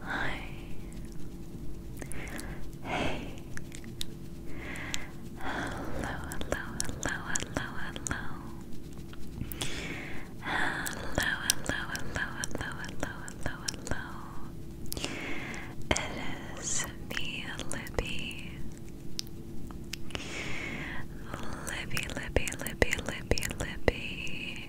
Hi. Hey. Hello, hello, hello, hello, hello. Hello, hello, hello, hello, hello, It is me, Libby. Libby, Libby, Libby, Libby, Libby.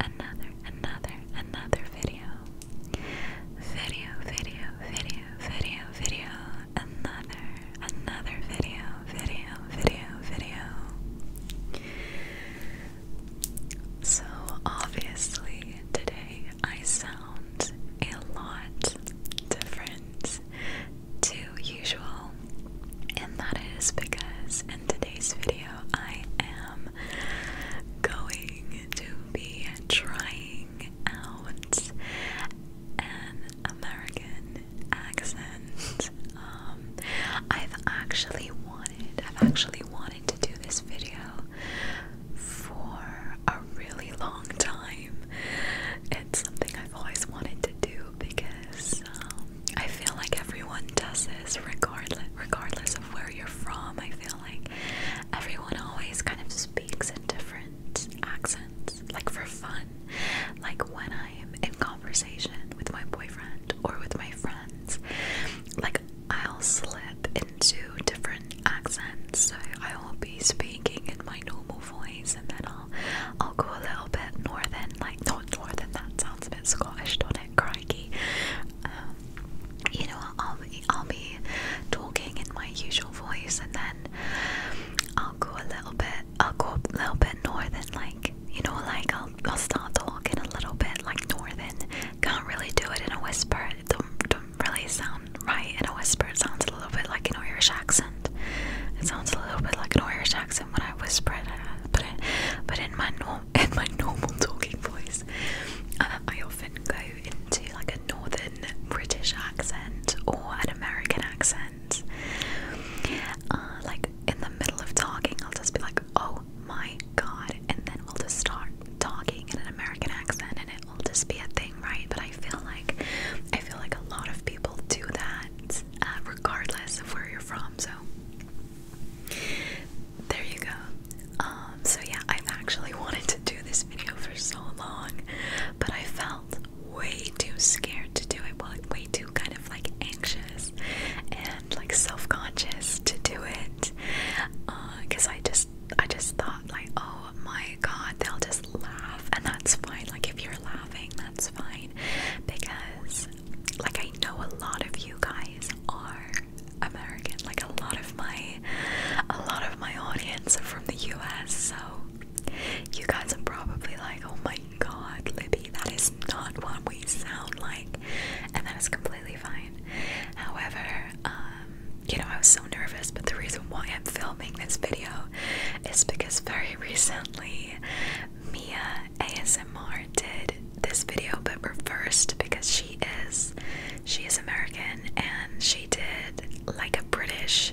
another, another, another video. Video, video, video, video, video, another, another video, video, video, video. So, obviously, today I sound a lot different to usual, and that is because in today's video, I am going to be trying out an American accent. Um, I've actually wanted, I've actually wanted to do this video for a really long time. It's something I've always wanted to do because um, I feel like everyone does it regardless, regardless, of where you're from, I feel like everyone always kind of speaks in different accents, like for fun. Like when I'm in conversation with my boyfriend or with my friends, like I'll slip into different accents. So I will be speaking in my normal voice, and then I'll I'll go a little bit northern, like not northern. That sounds a bit Scottish, don't it? Crikey. Um, you know, I'll be, talking in my usual voice, and then I'll go a little bit, I'll go a little bit northern, like you know, like I'll, start talking a little bit like northern. Can't really do it in a whisper. It don't, really sound right in a whisper. It sounds a little bit like an Irish accent. It sounds a little bit like an Irish accent when I whisper it, uh, but it, but in my normal in my normal talking voice. Uh, I often go into like a northern British accent or an American accent. Uh, like in the middle of talking, I'll just be like, oh my god, and then i will just start talking in an American accent and it will just be a thing, right? But I feel like I feel like a lot of people do that uh, regardless of where you're from, so there you go. Um, so yeah, I've actually wanted to do this video for so long, but I felt way too scared to do it. Well, way too kind of like anxious and like self-conscious to do it, because uh, I just I just thought like, oh my god, they'll just laugh, and that's fine. Like if you're laughing, that's fine, because like I know a lot of you guys are American. Like a lot of my a lot of my audience are from the US, so you guys are probably like, oh my god, Libby, that is not what we sound like. And that is completely fine. However, um, you know, I was so nervous, but the reason why I'm filming this video is because very recently Mia ASMR did this video but reversed because she is she is American and she did like a British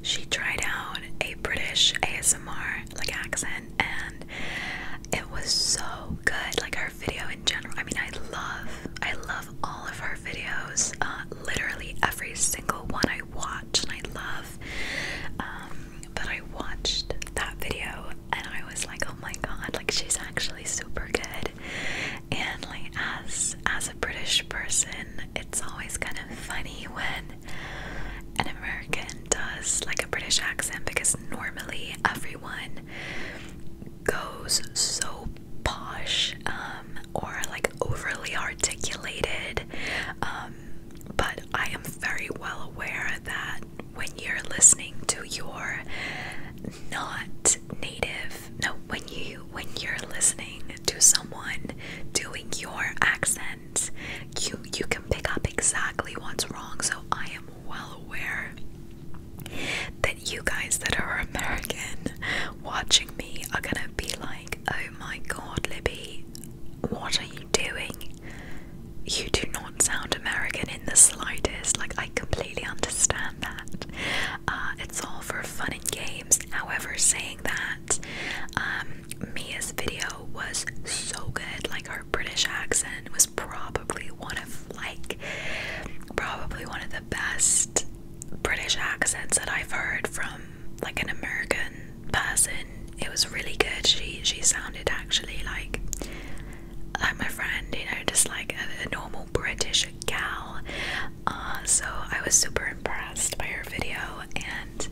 she tried out a British ASMR like accent and it was so good like our video in general I mean I love I love all of our videos uh, literally every single one I watch and I love um, but I watched that video and I was like, oh my god, like she's actually super good. And like as as a British person, it's always kind of funny when an American does like a British accent because normally everyone goes so posh um, or like overly articulated. Um, but I am very well aware that when you're listening to your not native no when you when you're listening to someone doing your accent you you can pick up exactly what's wrong so I am well aware that you guys that are American watching me are gonna be like oh my god Libby what are you doing? You do not sound American in the slightest. Like, I completely understand that. Uh, it's all for fun and games. However, saying that, um, Mia's video was so good. Like, her British accent was probably one of, like, probably one of the best British accents that I've heard from, like, an American person. It was really good. She she sounded actually like like my friend, you know, just like a, normal British gal. Uh, so I was super impressed by her video, and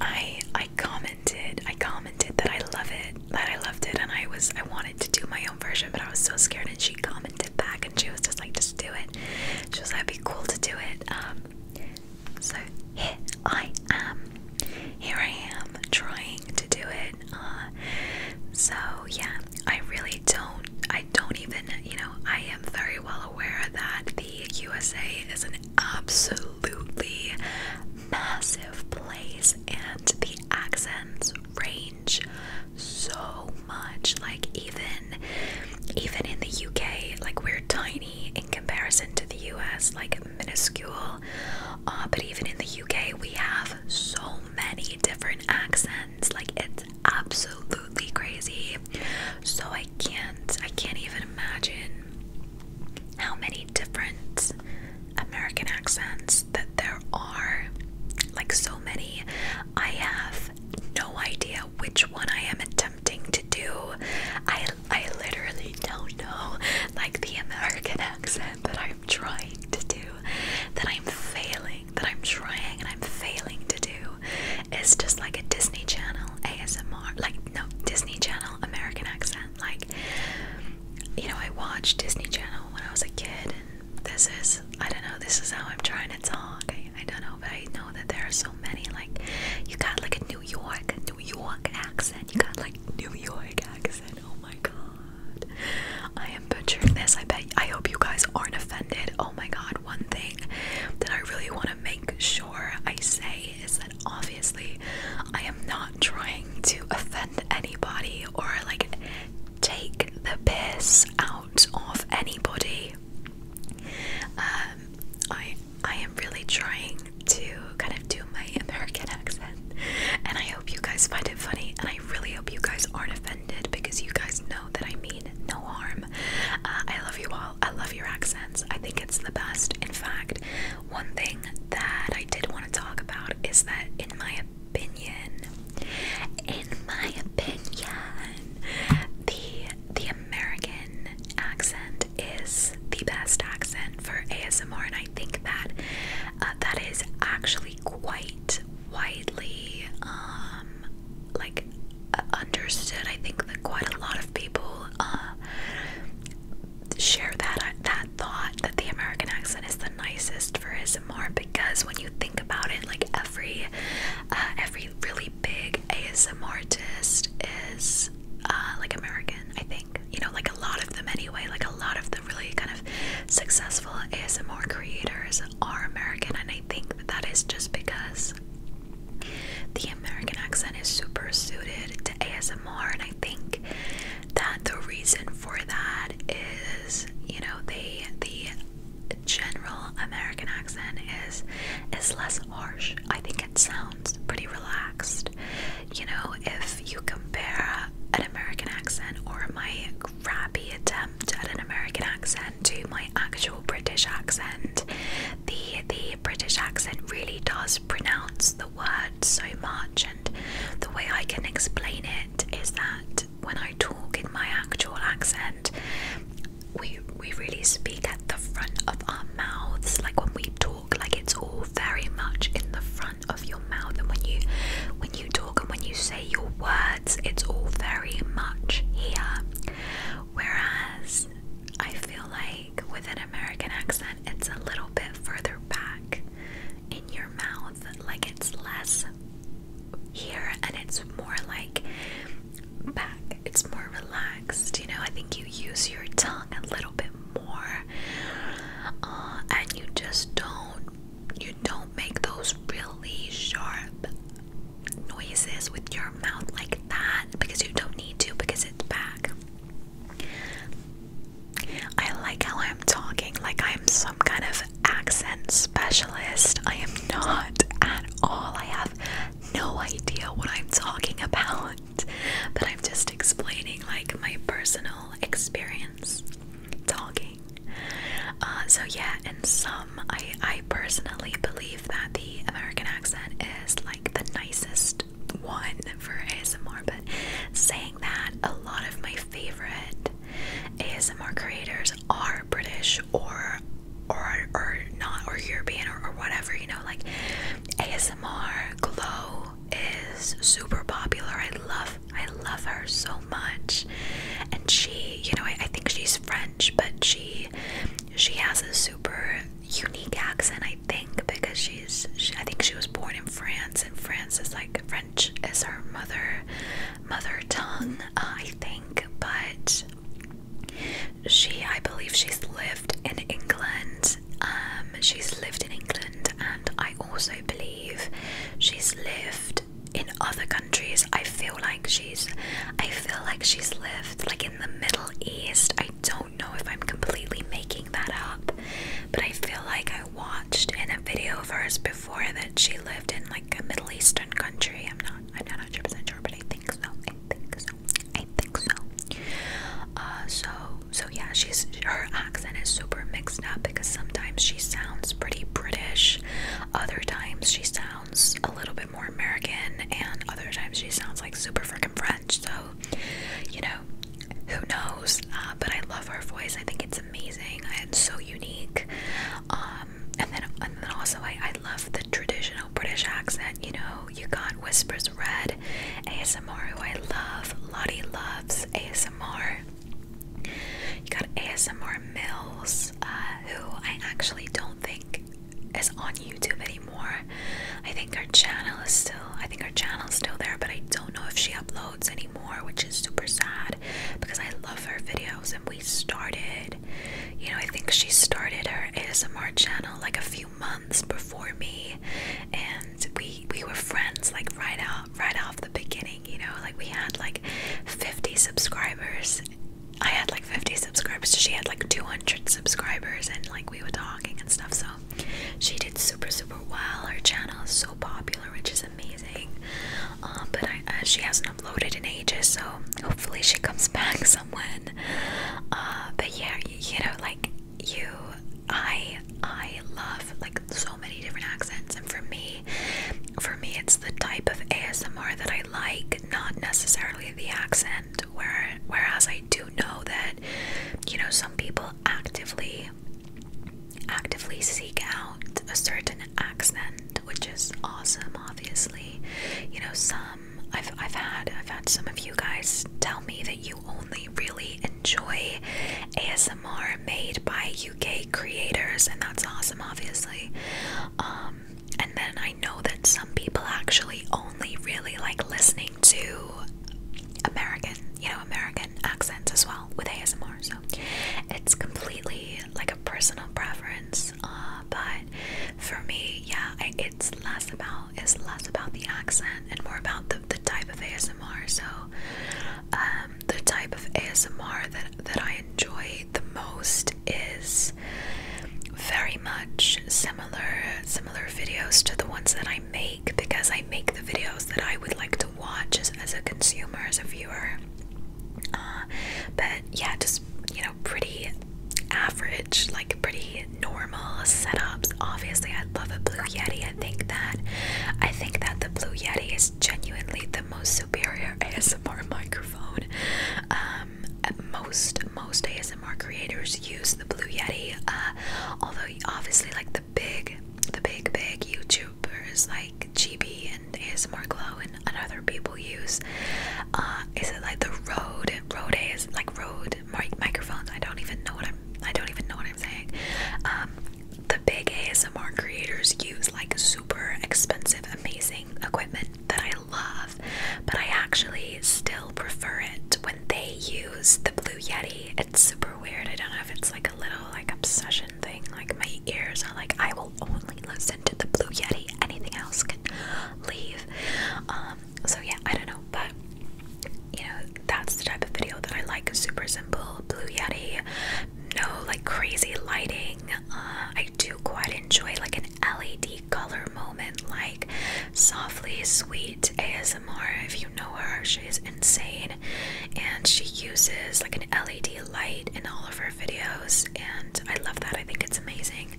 I I commented I commented that I love it that I loved it, and I was I wanted to do my own version, but I was so scared. And she commented back, and she was just like, just do it. She was like, it'd be cool to do it. Um, so here I am. Here I am trying to do it. Uh, so yeah, I really don't. I don't even. You know, I am very well aware that the USA is an absolutely massive place, and the accents range so much. Like even even in the UK, like we're tiny in comparison to the US. Like minuscule. Uh, but even in the UK, we have so many different accents. Like it's absolutely crazy. So I can't, I can't even imagine how many different American accents that there are. Like so many, I have no idea which one I am attempting to do. I I literally don't know like the American accent that I'm trying to do, that I'm failing, that I'm trying and I'm failing to do is just like a Disney Channel ASMR, like no Disney Channel American accent. Like you know, I watched Disney Channel when I was a kid and this is I don't know, this is how I'm trying to talk. I, I don't know, but I know that there are so many like you got like a New York, New York accent. You got like New York accent. Oh my god. I am butchering this. I bet I hope you guys aren't offended. Oh my god. One thing that I really want to make sure I say is that obviously I am not trying to offend anybody or like take the piss out of anybody. Um I I am really trying to kind of do my American accent, and I hope you guys find it funny. And I really hope you guys aren't offended because you guys know that I mean no harm. Uh, I love you all. I love your accents. I think it's the best. In fact, one thing that I did want to talk about is that, in my opinion, in my opinion, the the American accent is the best accent for ASMR, and I think that uh, that is actually quite widely um, like understood. I think that quite a lot of people uh, share that uh, that thought that the American accent is the nicest for ASMR because when you think about it, like every every really big ASMR artist is uh, like American, I think. You know, like a lot of them anyway. Like a lot of the really kind of successful ASMR creators are American, and I think that, that is just because the American accent is super suited to ASMR, and I think that the reason for that is, you know, they the general American accent is is less harsh. I think it sounds pretty relaxed. You know, if you compare an American accent or my crappy attempt at an American accent to my actual British accent, the the British accent really does pronounce the word so much and the way I can explain it is that when I talk in my actual accent, we we really speak at the front of our mouths like when we talk like it's all very much in the front of your mouth and when you when you talk and when you say your words it's all very much here whereas I feel like with an American accent it's a little bit further back in your mouth like it's less here and it's more like back. It's more relaxed, you know. I think you use your tongue a little bit more, uh, and you just don't you don't make those really sharp noises with your mouth like that because you don't need to because it's back. I like how I'm talking like I'm some kind of accent specialist. I am not at all. I have no idea what I'm talking about. But I'm just explaining like my personal experience talking. Uh, so yeah, and some, I I personally believe that the American accent is like the nicest one for ASMR. But saying that, a lot of my favorite ASMR creators are British or or or not or European or, or whatever you know like ASMR glow is super popular I love I love her so much and she you know I, I think she's French but she she has a super unique accent I think because she's she, I think she was born in France and France is like French is her mother mother tongue uh, I think but she, I believe, she's lived in England. Um, she's lived in England, and I also believe she's lived in other countries. I feel like she's, I feel like she's lived like in the Middle East. I don't know if I'm completely making that up, but I feel like I watched in a video of hers before that she lived in like a Middle Eastern country. I'm not, I'm not 100 percent sure, but I think so. I think so so. I think so. Uh, so so yeah, she's her accent is super mixed up because sometimes she sounds pretty British, other times she sounds a little bit more American, and other times she sounds like super freaking French. So you know, who knows? Uh, but I love her voice. I think it's amazing and so unique. Um, and then and then also I I love traditional British accent, you know, you got Whispers Red, ASMR, who I love, Lottie loves ASMR. You got ASMR Mills, uh, who I actually don't think is on YouTube anymore. I think her channel is still, I think her is still there, but I don't know if she uploads anymore, which is super sad because I love her videos and we started, you know, I think she started her ASMR channel like a few months before me, and we we were friends like right out right off the beginning. You know, like we had like 50 subscribers. I had like 50 subscribers. she had like 200 subscribers, and like we were talking and stuff. So she did super super well. Her channel is so popular, which is amazing. Um, but uh, she hasn't uploaded in ages, so hopefully she comes back uh, but yeah, you, you know, like you, I, I love like so many different accents, and for me, for me, it's the type of ASMR that I like, not necessarily the accent. Where, whereas I do know that, you know, some people actively actively seek out a certain accent which is awesome obviously you know some um, I've I've had I've had some of you guys tell me that you only really enjoy ASMR made by UK creators, and that's awesome, obviously. Um, and then I know that some people actually only really like listening to American, you know, American accents as well with ASMR. So it's completely like a personal preference. Uh, but for me, yeah, it's less about it's less about the accent and more about the, the type of ASMR. So, um, the type of ASMR that that I enjoy the most is very much similar similar videos to the ones that I make because I make the videos that I would like to watch as, a consumer, as a viewer. Uh, but yeah, just you know, pretty average, like pretty normal setups. Obviously, I love a Blue Yeti. I think that I think that the Blue Yeti is genuinely the most superior ASMR microphone. Um, most most ASMR creators use the Blue Yeti. Uh, although obviously, like the big, the big, big YouTubers like GB and ASMR Glow and, other people use uh, is it like the Rode Rode is like Rode microphones? I don't even know what I'm I don't even know what I'm saying. Um, the big ASMR creators use like super expensive, amazing equipment that I love, but I actually still prefer it when they use the Blue Yeti. It's super weird. I don't know if it's like a little like obsession thing. Like my ears are like I will only listen the Blue Yeti. Anything else can leave. Um, so yeah, I don't know, but you know, that's the type of video that I like. Super simple, Blue Yeti, no like crazy lighting. Uh, I do quite enjoy like an LED color moment, like softly sweet ASMR. If you know her, she's insane, and she uses like an LED light in all of her videos, and I love that. I think it's amazing.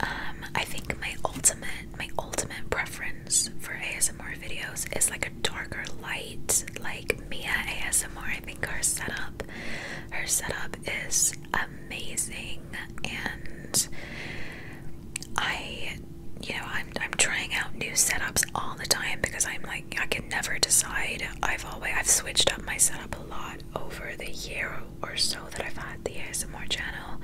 Um, I think my ultimate, my ultimate preference for ASMR videos is like a darker light, like Mia ASMR. I think her setup, her setup is amazing, and I, you know, I'm I'm trying out new setups all the time because I'm like I can never decide. I've always I've switched up my setup a lot over the year or so that I've had the ASMR channel.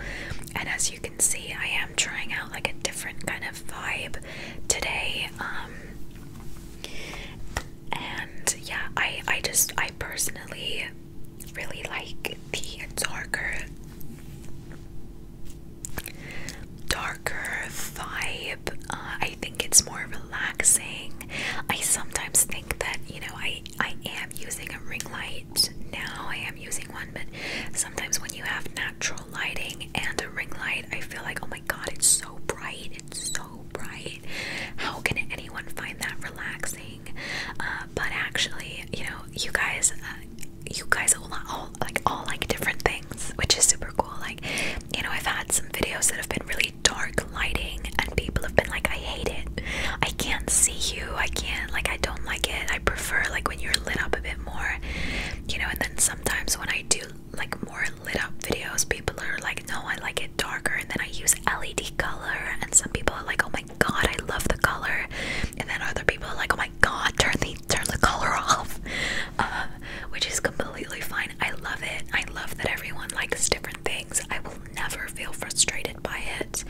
And as you can see, I am trying out like a different kind of vibe today. Um, and yeah, I I just I personally really like the darker darker vibe. Uh, I think it's more relaxing. I sometimes think that, you know, I I am using a ring light. Now I am using one, but sometimes when you have natural lighting and a ring light, I feel like, "Oh my god, it's so bright. It's so bright. How can anyone find that relaxing?" Uh, but actually, you know, you guys uh, you guys all like all like different things, which is super cool. Like, you know, I've had some videos that have been really dark lighting, and people have been like, I hate it. I can't see you. I can't, like, I don't like it. I prefer, like, when you're lit up a bit more, you know. And then sometimes when I do, like, more lit up videos, people are like, No, I like it darker. And then I use LED color, and some people are like, Oh my god, I love the color. And then other people are like, Oh my god, turn the turn the color off. Uh, which is completely fine. I love it. I love that everyone likes different things. I will never feel frustrated by it.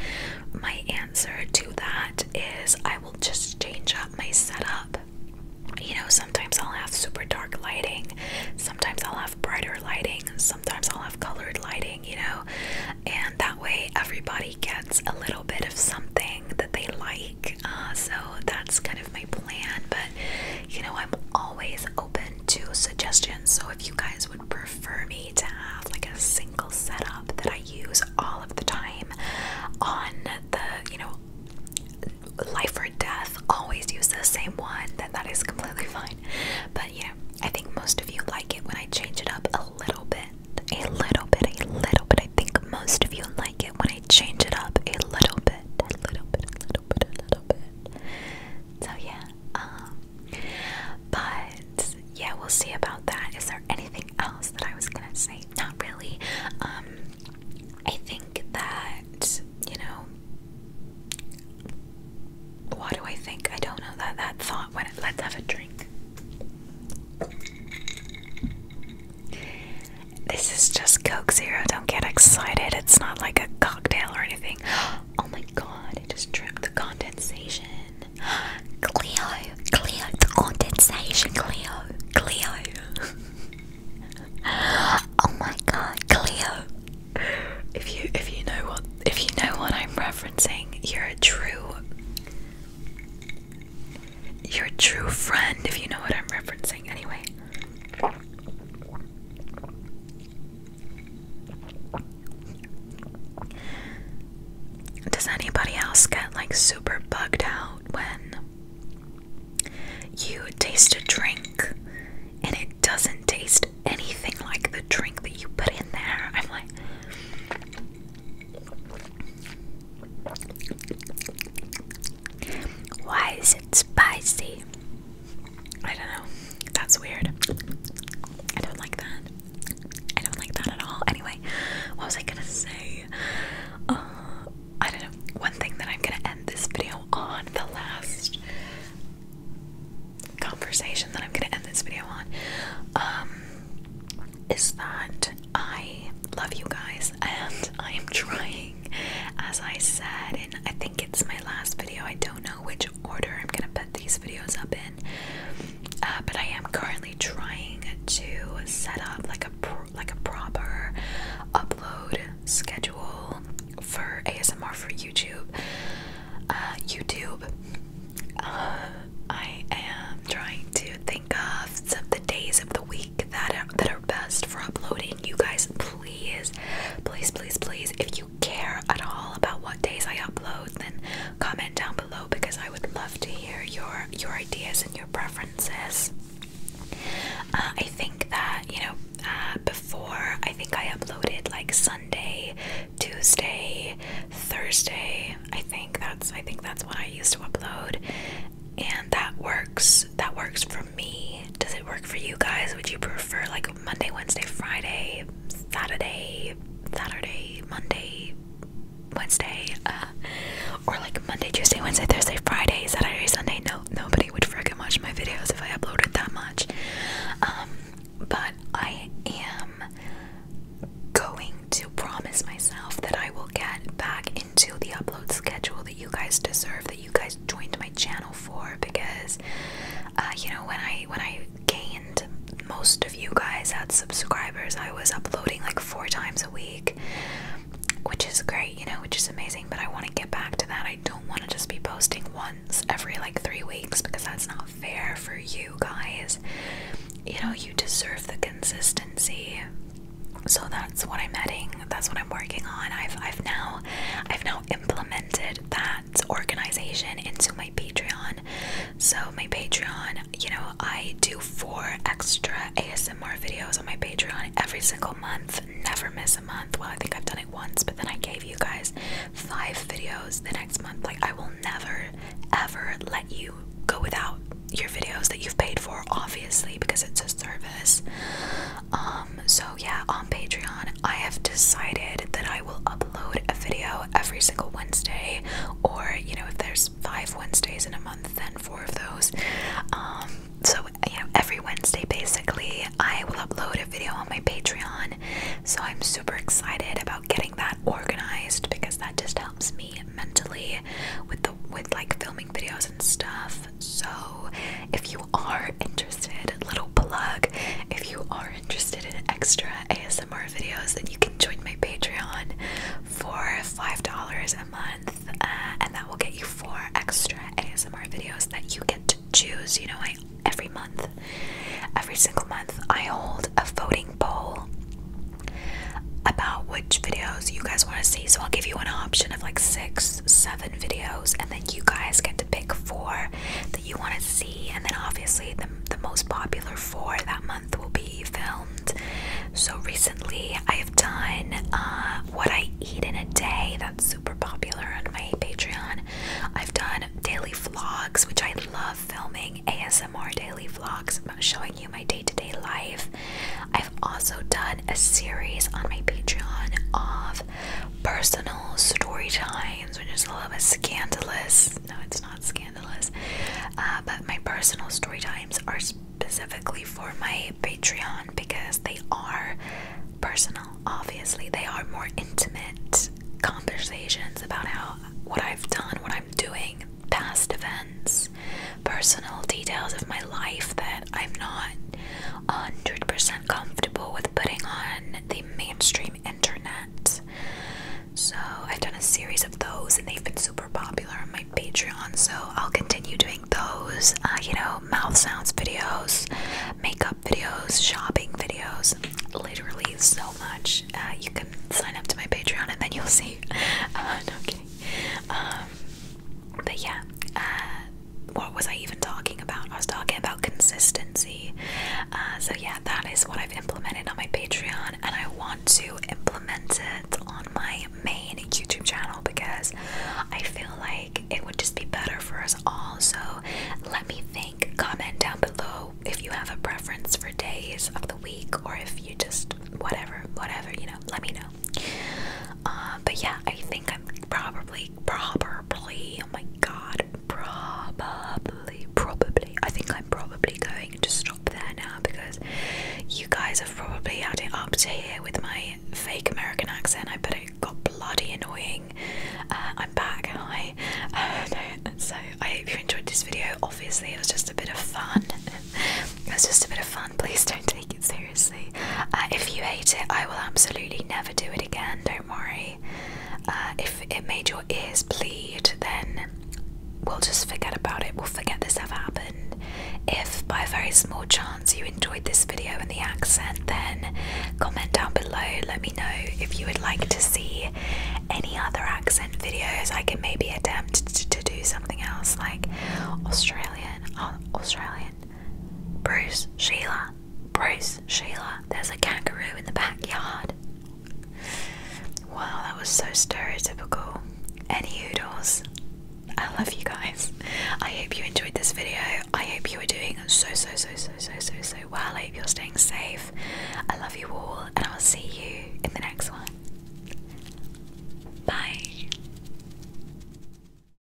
My answer to that is I will just change up my setup. You know, sometimes I'll have super dark lighting, sometimes I'll have brighter lighting, sometimes I'll have colored lighting, you know, and that way everybody gets a little bit of something that they like. Uh, so that's kind of my plan, but you know, I'm always open to suggestions. So if you guys would prefer me to have like a single setup that I use all of the time on the, you know, life or death, always use the same one, then that is completely fine. But you know, I think most of you like it when I change it up a little bit. A little bit, a little bit. I think most of you like it when I change it up a little bit. A little bit, a little bit, a little bit. So yeah, um, but yeah, we'll see about that. Is there anything else that I was gonna say? Not really. Um, I think that, you know, what do I think? I don't know that that thought went. Let's have a drink. This is just Coke Zero. Don't get excited. It's not like a cocktail or anything. Oh my god, It just dripped the condensation. Cleo, Cleo, the condensation, Cleo, Cleo. oh my god, Cleo. If you if you know what if you know what I'm referencing, you're a true you're a true friend if you know what I'm referencing anyway. Does anybody else get like super bugged out when you taste a drink and it doesn't taste anything like the drink that you put in there? I'm like. Why is it spicy? I don't know. That's weird. I don't like that. I don't like that at all. Anyway, what was I gonna say? Uh, I don't know. One thing that I'm gonna end this video on, the last conversation that I'm gonna end this video on, um, is that I love you guys and I am trying, as I said, and I think it's my last video. I don't know which order I'm gonna put these videos up in. Uh, but I am currently trying to set up like a like a proper upload schedule for ASMR for YouTube. Uh, YouTube. Uh, I am trying to think of some of the days of the week that are, that are best for uploading. You guys, please, please, please, please, if you care at all about what days I upload, then comment down below because I would love to hear your your ideas and your preferences. Uh, I think that you know uh, before I think I uploaded like Sunday, Tuesday, Thursday. I think that's I think that's what I used to upload, and that works. That works for me. Does it work for you guys? Would you prefer like Monday, Wednesday, Friday, Saturday, Saturday, Monday, Wednesday, uh, or like Monday, Tuesday, Wednesday, Thursday, Friday, Saturday, Sunday? No, nobody would freaking watch my videos if I uploaded that much. Um, but I am going to promise myself that I will get back into the upload schedule that you guys deserve, that you guys joined my channel for because uh, you know when I when I gained most of you guys had subscribers, I was uploading like four times a week, which is great, you know, which is amazing. But I want to get back to that. I don't want to just be posting once every like three weeks because that's not fair for you guys. You know, you deserve the consistency so that's what I'm adding that's what I'm working on I've I've now I've now implemented that organization into my Patreon. So, my Patreon, you know, I do four extra ASMR videos on my Patreon every single month, never miss a month. Well, I think I've done it once, but then I gave you guys five videos the next month. Like, I will never, ever let you go without your videos that you've paid for, obviously, because it's a service. Um, so yeah, on Patreon, I have decided that I will upload a video every single Wednesday, or you know, if there's five Wednesdays in a month, then four of those. Um, so you know, every Wednesday basically, I will upload a video on my Patreon. So I'm super excited about getting that organized because that just helps me mentally with the with like filming videos and stuff. So, if you are interested, little plug, if you are interested in extra ASMR videos, then you can join my Patreon for $5 a month, uh, and that will get you four extra ASMR videos that you get to choose. You know, every month, every single month, I hold a voting poll about which videos you guys want to see. So I'll give you an option of like six, seven videos, and then you guys get pick four that you want to see, and then obviously the, most popular four that month will be filmed. So recently, I have done uh, what I eat in a day. That's super popular on my Patreon. I've done daily vlogs, which I love filming ASMR daily vlogs about showing you my day to -day life. I've also done a series on my Patreon of personal story times, which is a little bit scandalous. No, it's not scandalous. Uh, but my personal story times are specifically for my Patreon because they are personal, obviously. They are more intimate conversations about how what I've done, what I'm doing, past events, personal details of my life that I'm not 100% comfortable with putting on the mainstream internet. So I've done a series of those and they've been super popular on my Patreon. So I'll continue doing those, uh, you know, mouth sounds videos, makeup videos, shopping videos, literally so much. Uh, you can sign up to my Patreon and then you'll see. Uh, Um, but yeah, uh, what was I even talking about? I was talking about consistency. Uh, so, yeah, that is what I've implemented on my Patreon, and I want to implement it on my main YouTube channel because I feel like it would just be better for us all. So, let me think, comment down below if you have a preference for days of the week or if you just whatever, whatever, you know, let me know. Um, but yeah, I think I'm probably, probably, oh my god, probably, probably, I think I'm probably going to stop there now because you guys have probably had it up to here with my fake American accent. I bet it got bloody annoying. Uh, I'm back, hi. Uh, so I hope you enjoyed this video. Obviously, it was just a bit of fun. it was just a bit of fun. Please don't take seriously. Uh, if you hate it, I will absolutely never do it again, don't worry. Uh, if it made your ears bleed, then we'll just forget about it, we'll forget this ever happened. If by a very small chance you enjoyed this video and the accent, then comment down below, let me know if you would like to see any other accent videos. I can maybe attempt to, to do something else like Australian, uh, Australian. Bruce, Sheila, Bruce, Sheila, there's a kangaroo in the backyard. Wow, that was so stereotypical. Any oodles. I love you guys. I hope you enjoyed this video. I hope you are doing so, so, so, so, so, so, so well. I hope you're staying safe. I love you all, and I'll see you in the next one. Bye.